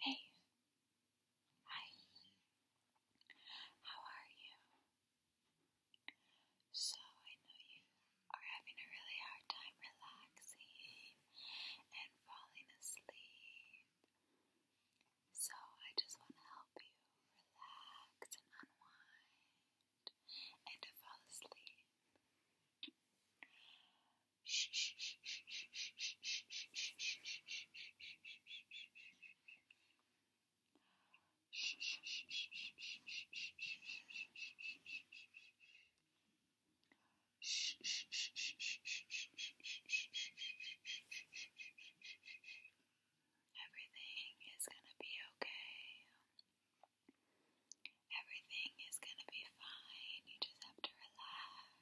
Hey. Hi. How are you? So, I know you are having a really hard time relaxing and falling asleep. So, I just want to help you relax and unwind and fall asleep. Everything is going to be okay. Everything is going to be fine. You just have to relax.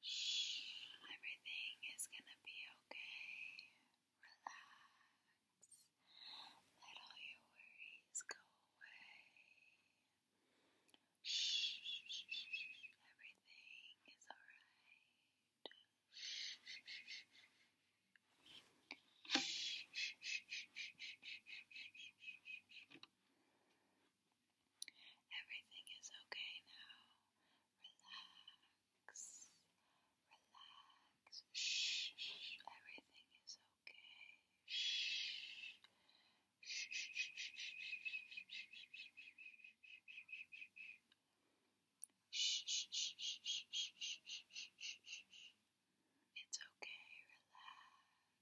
Shh. Everything is gonna be okay. Relax. Let all your worries go away. Shh. Everything is alright. Shh. Everything is okay now. Relax. Relax. Shh. Everything is okay. Shh. Shh. shh, shh, shh, shh. It's okay, relax.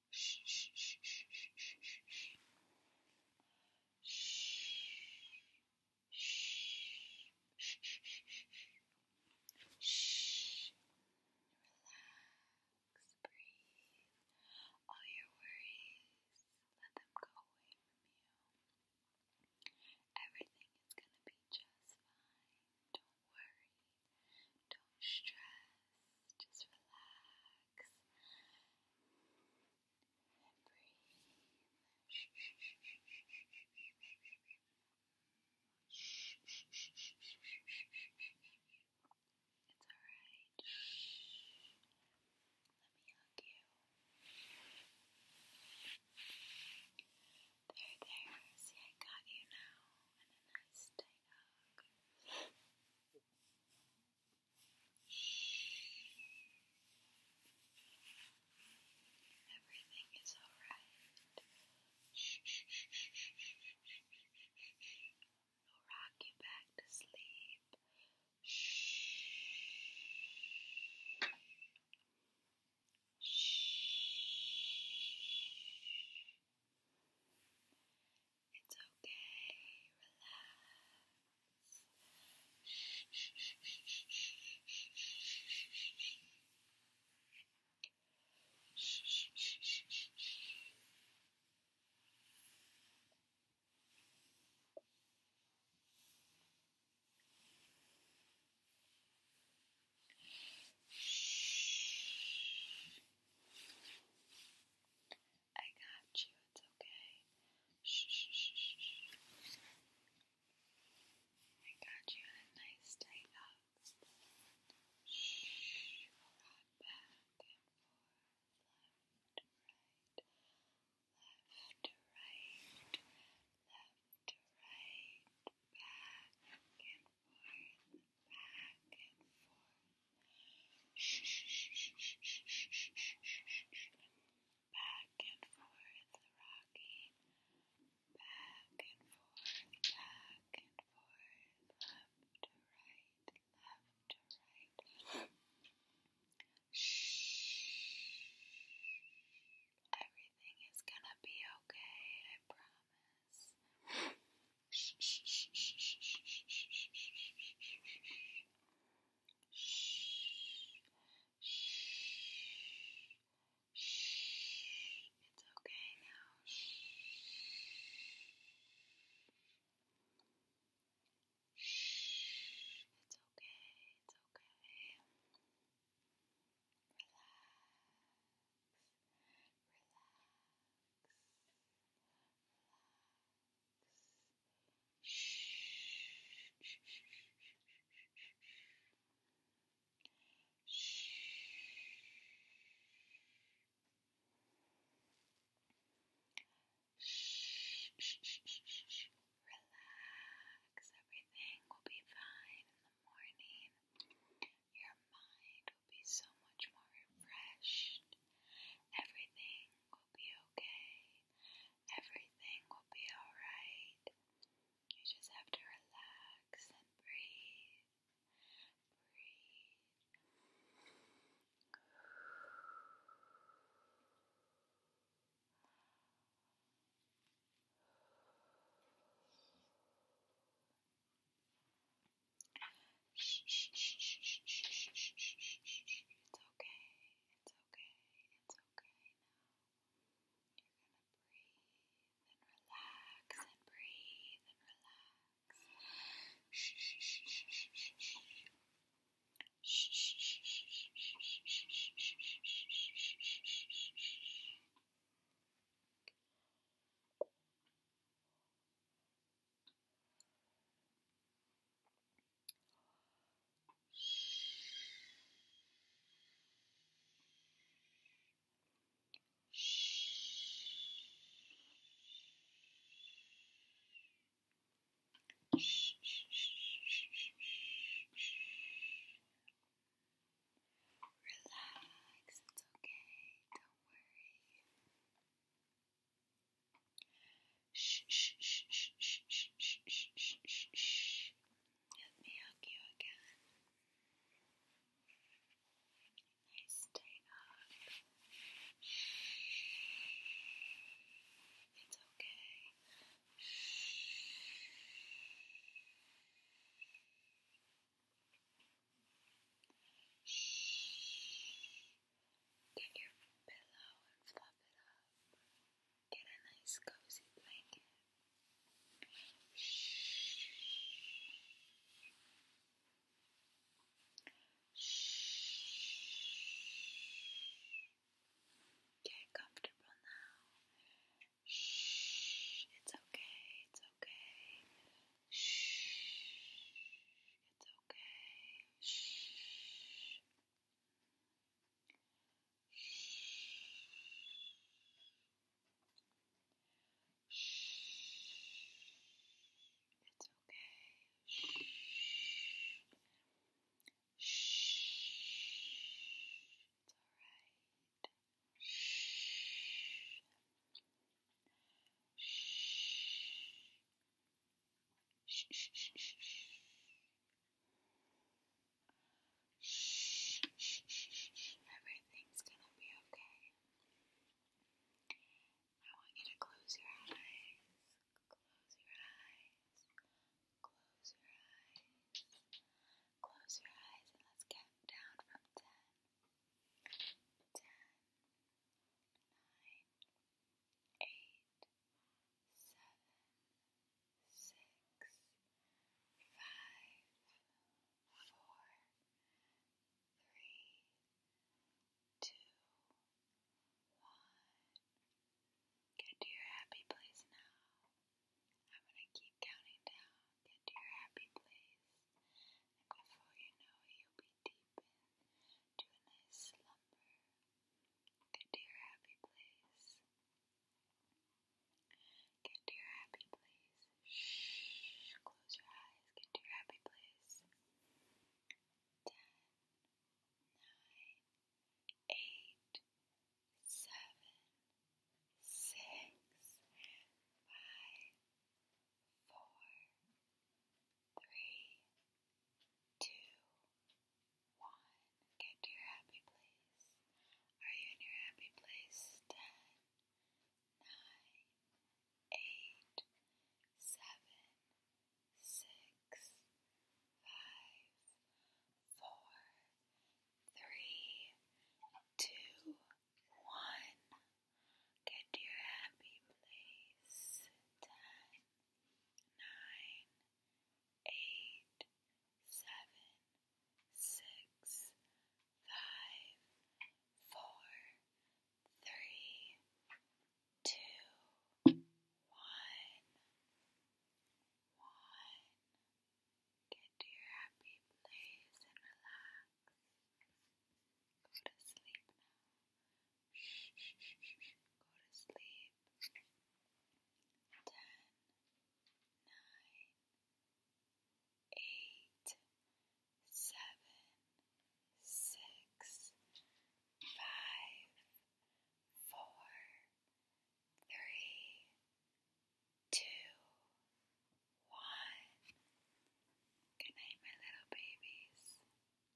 breathe. All your worries, let them go away from you. Everything is going to be just fine. Don't worry. Don't stress just relax and breathe. It's alright. Let me hug you. There, there. See, I got you now. And a nice tight hug. Everything is alright. We'll rock you back to sleep. It's okay, relax. Shh, shh, shh, shh, shh, shh, shh, shh, shh, shh, shh. Shh. I got you. It's okay. Shh, I got you a nice tight hug. Shh. Rock back and forth, left, right, left, right, right, back and forth, back and forth. Back and forth, rocking. Back and forth, back and forth, left to right, left to right. Everything is gonna be okay, I promise. Shh. Shh. Shh. It's okay now. Shh. Shh. It's okay. It's okay. Relax. Relax. Relax. Relax, everything will be fine in the morning. Your mind will be so much more refreshed. Everything will be okay. Everything will be alright. You just have to relax and breathe. Breathe. Shh, shh, shh, shh, shh, shh, shh, shh, shh, shh. It's okay. It's okay. It's okay now. You're gonna breathe and relax and breathe and relax. Shh, shh, shh, shh, shh, shh, shh. Shh, shh, shh, shh, shh, shh, shh, shh, shh. Relax, it's okay, don't worry. Shh, shh, shh, shh, shh, shh, shh, shh, shh, Let me hug you again. Now stay up. It's okay. Get your pillow and fluff it up. Get a nice cozy blanket. Shh. Shh. Get comfortable now. Shh. It's okay. It's okay. Shh. It's okay. Shh. It's okay. Shh. Shh. It's alright. Shh. Shh. Shh, shh, shh, shh, shh. Shh, shh, shh, shh, shh. Everything's gonna be okay. I want you to close your eyes. Close your eyes. Close your eyes. Close your eyes and let's count down from ten. Ten, nine, eight, seven, six, five, four, three, two, one. Get to your happy place now. I'm going to keep counting down. Get to your happy place. And before you know it, you'll be deep into a nice slumber, get to your happy place. Get to your happy place. Shh. Close your eyes. Get to your happy place. Ten, nine, eight, seven, six, five, four, Three, two, one. Get to your happy place. Are you in your happy place? Ten, nine, eight, seven, six, five, four, three, two, one. Get to your happy place. Ten, nine, eight, seven, six, five, four, three, two, one. One. Get to your happy place and relax. Go to sleep now. Go to sleep. Ten, nine, eight, seven, six, five, four, three, two, one. Good my little babies.